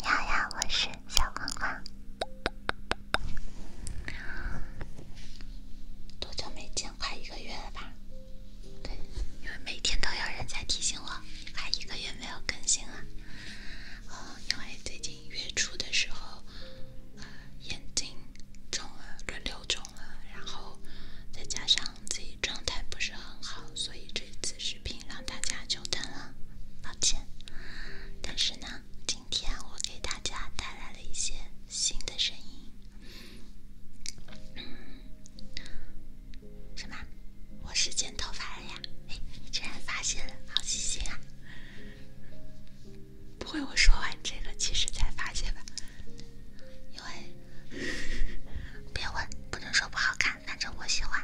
我是小黄花。多久没见？快一个月了吧？对，因为每天都有人在提醒我，快一个月没有更新了。呃，因为最近月初的时候，眼睛肿了，轮流肿了，然后再加上。自己状态不是很好，所以这次视频让大家久等了，抱歉。但是呢，今天我给大家带来了一些新的声音。什么？我是剪头发了呀？哎，你竟然发现了，好细心啊！不会我说完这个，其实才发现吧？对，别问，不能说不好看，反正我喜欢，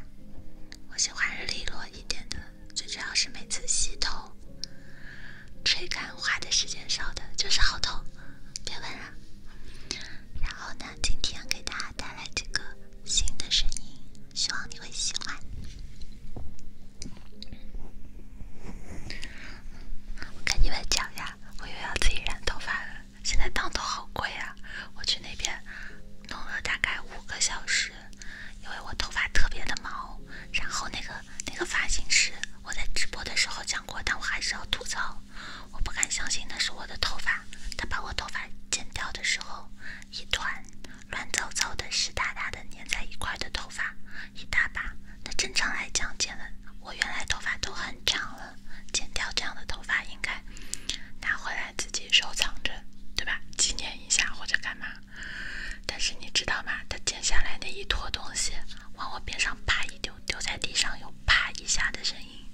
我喜欢利落一点的，最主要是每次洗头、吹干花的时间少的，就是好痛，别问了。然后呢，今天给大家带来这个新的声音，希望你会喜欢。我跟你们讲呀，我又要自己染头发了。现在烫头好贵啊！我去那边弄了大概五个小时，因为我头发特别的毛。然后那个那个发型师，我在直播的时候讲过，但我还是要吐槽，我不敢相信那是我的头发。他把我头发剪掉的时候，一团乱糟糟的、湿哒哒的、粘在一块的头发，一大把。那正常来讲，剪了我原来头发都很长了。剪掉这样的头发，应该拿回来自己收藏着，对吧？纪念一下或者干嘛？但是你知道吗？他剪下来那一坨东西，往我边上啪一丢，丢在地上有啪一下的声音，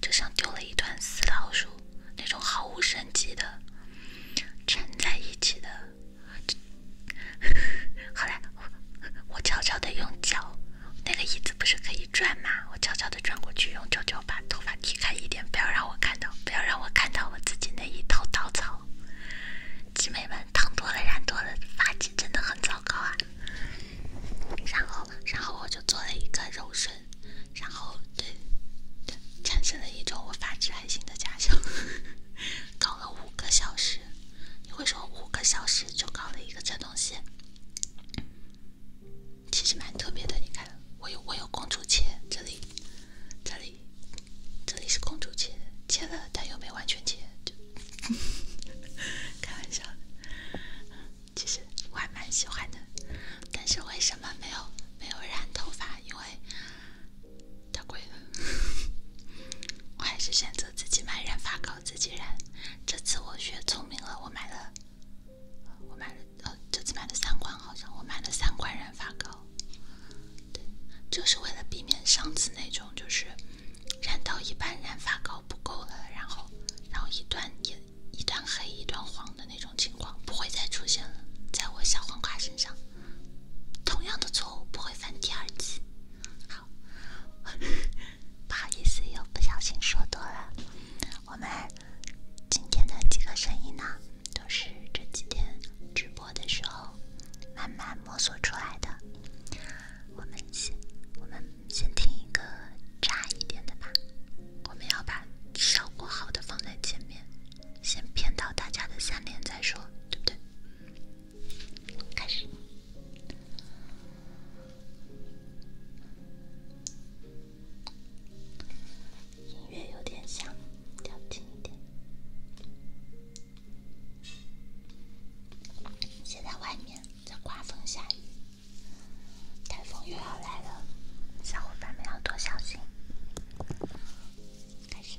就像丢了一团死老鼠，那种毫无生机的缠 在一起的。后 来我悄悄的用脚那个椅子。不是可以转吗？我悄悄的转过去，用球球把头发踢开一点，不要让我看到，不要让我看到我自己那一头稻草。集美们，烫多了染多了，发质真的很糟糕啊。然后，然后我就做了一个柔顺，然后对，产生了一种我发质还行的假象。搞了五个小时，你会说五个小时就搞了一个这东西？其实蛮特别的，你看，我有我有公主切，这里，这里，这里是公主切，切了但又没完全切，就，开玩笑，其实我还蛮喜欢的，但是为什么没有没有染头发？因为太贵了，我还是选择自己买染发膏。自己染，这次我学聪明了，我买了，我买了，呃，这次买了三罐，好像我买了三罐染发膏，就是为了避免上次那种就是染到一半染发膏不够了，然后，然后一段一一段黑一段黄的那种情况不会再出现了，在我小黄瓜身上，同样的错误不会犯第二次。不好意思，又不小心说多了。我们今天的几个声音呢，都是这几天直播的时候慢慢摸索出来的。我们先我们先听一个炸一点的吧。我们要把效果好的放在前面，先骗到大家的下面再说，对不对？开始。音乐有点响，调轻一点。现在外面在刮风下雨，台风又要来了，小伙伴们要多小心。开始。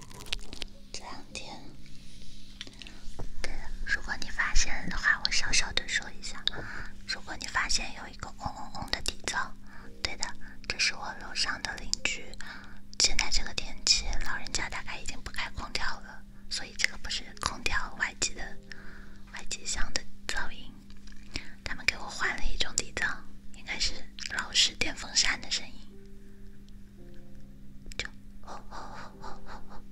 这两天，对了，如果你发现的话，我小小的说一下，如果你发现有一个嗡嗡嗡的底噪，对的，这是我楼上的邻居。现在这个天气，老人家大概已经不开空调了，所以这个不是空调外机的外机箱的噪音。他们给我换了一种底噪，应该是老式电风扇的声音。就，我我我我我我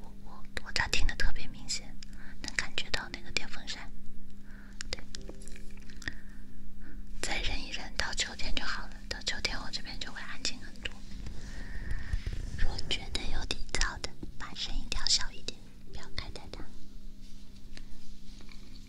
我我我咋听得特别明显？能感觉到那个电风扇，对。再忍一忍，到秋天就好了。到秋天，我这边就会安静很多。如果觉得有点噪的，把声音调小一点，不要开太大。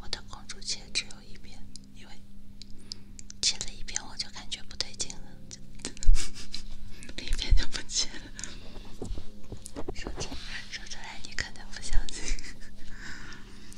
我的公主切只有一遍，因为切了一遍我就感觉不对劲了，另 一遍就不切了。说出来，说出来你肯定不相信。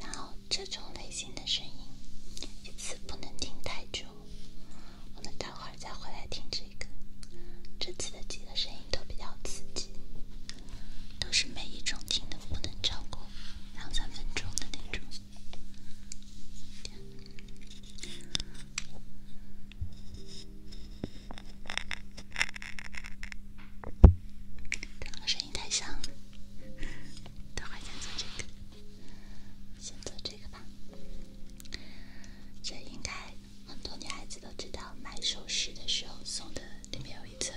然后这种类型的声音，一次不能听太久。我们待会大家回来听这个，这次的几个声音都比较刺激，都是每一种听的不能超过两三分钟的那种。两个声音太响了，都还在做这个，先做这个吧，这应该。很多女孩子都知道，买首饰的时候送的里面有一层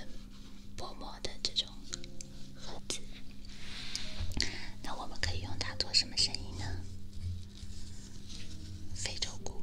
薄膜的这种盒子。那我们可以用它做什么生意呢？非洲鼓。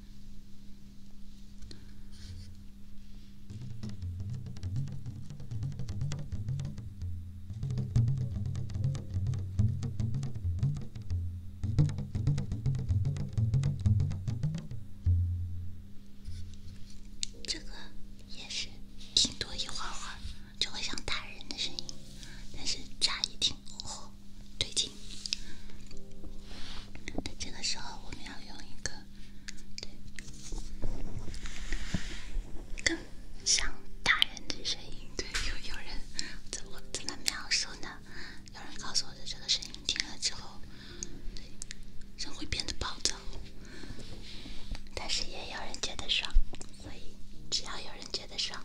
这个也是听多，一会儿会儿就会像打人的声音，但是乍一听。对劲。这个时候我们要用一个，更像大人的声音。对，有有人，怎么怎么描述呢？有人告诉我的这个声音听了之后，人会变得暴躁，但是也有人觉得爽，所以只要有人觉得爽。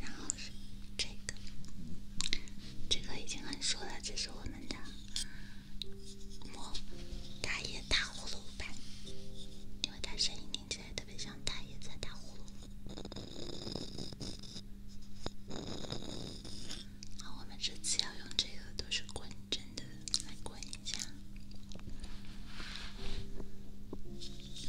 然后是这个，这个已经很熟了，这是我们的“魔大爷打呼噜版”，因为它声音听起来特别像大爷在打呼噜。好，我们这次要用这个，都是滚针的，来滚一下。等一下。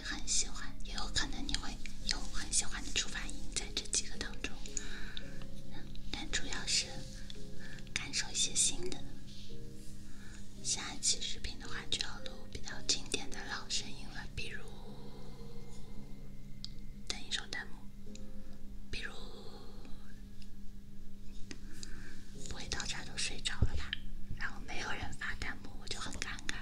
很喜欢，也有可能你会有很喜欢的出发音在这几个当中，但主要是感受一些新的。下一期视频的话就要录比较经典的老声音了，比如等一首弹幕，比如不会到家都睡着了吧？然后没有人发弹幕，我就很尴尬。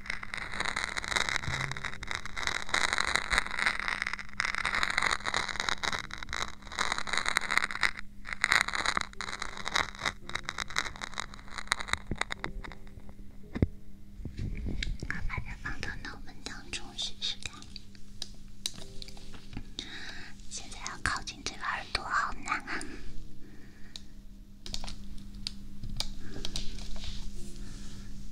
我把它放到脑门当中试试看。现在要靠近这个耳朵，好难啊！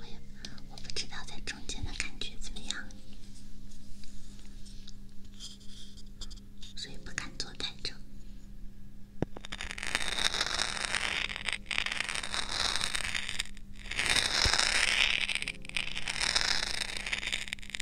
我也我不知道在中间的感觉怎么样，所以不敢做太正。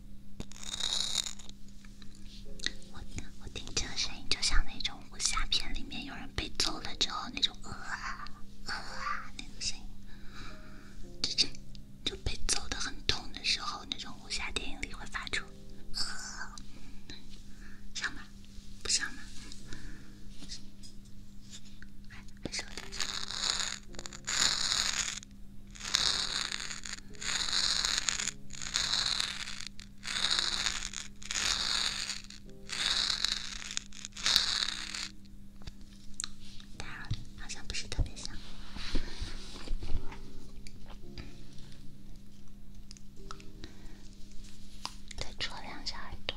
我我听这个声音，就像那种武侠片里面有人被揍了之后那种呃呃，那种声音，就就就被揍的很痛的时候，那种武侠电影里会发出。像吗？不像吗？还还说。它好像不是特别香，再戳两下耳朵。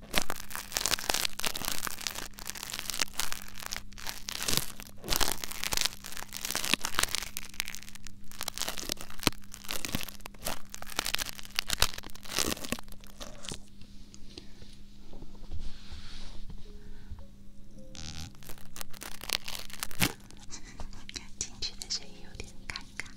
进去的声音有点尴尬。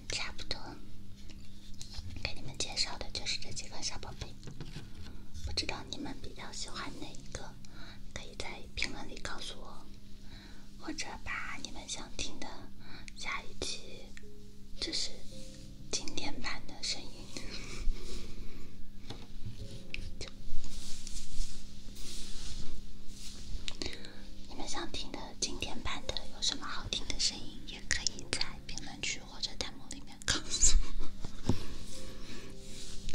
差不多，给你们介绍的就是这几个小宝贝。不知道你们比较喜欢哪一个，可以在评论里告诉我，或者把你们想听的下一期就是经典版的声音，你们想听的。经典版的有什么好听的声音，也可以在评论区或者弹幕里面告诉我。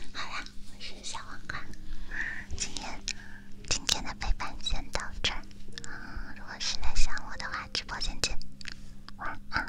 好啦，我是小皇冠，今天今天的陪伴先到这儿。啊，如果是在想我的话，直播间见。晚安。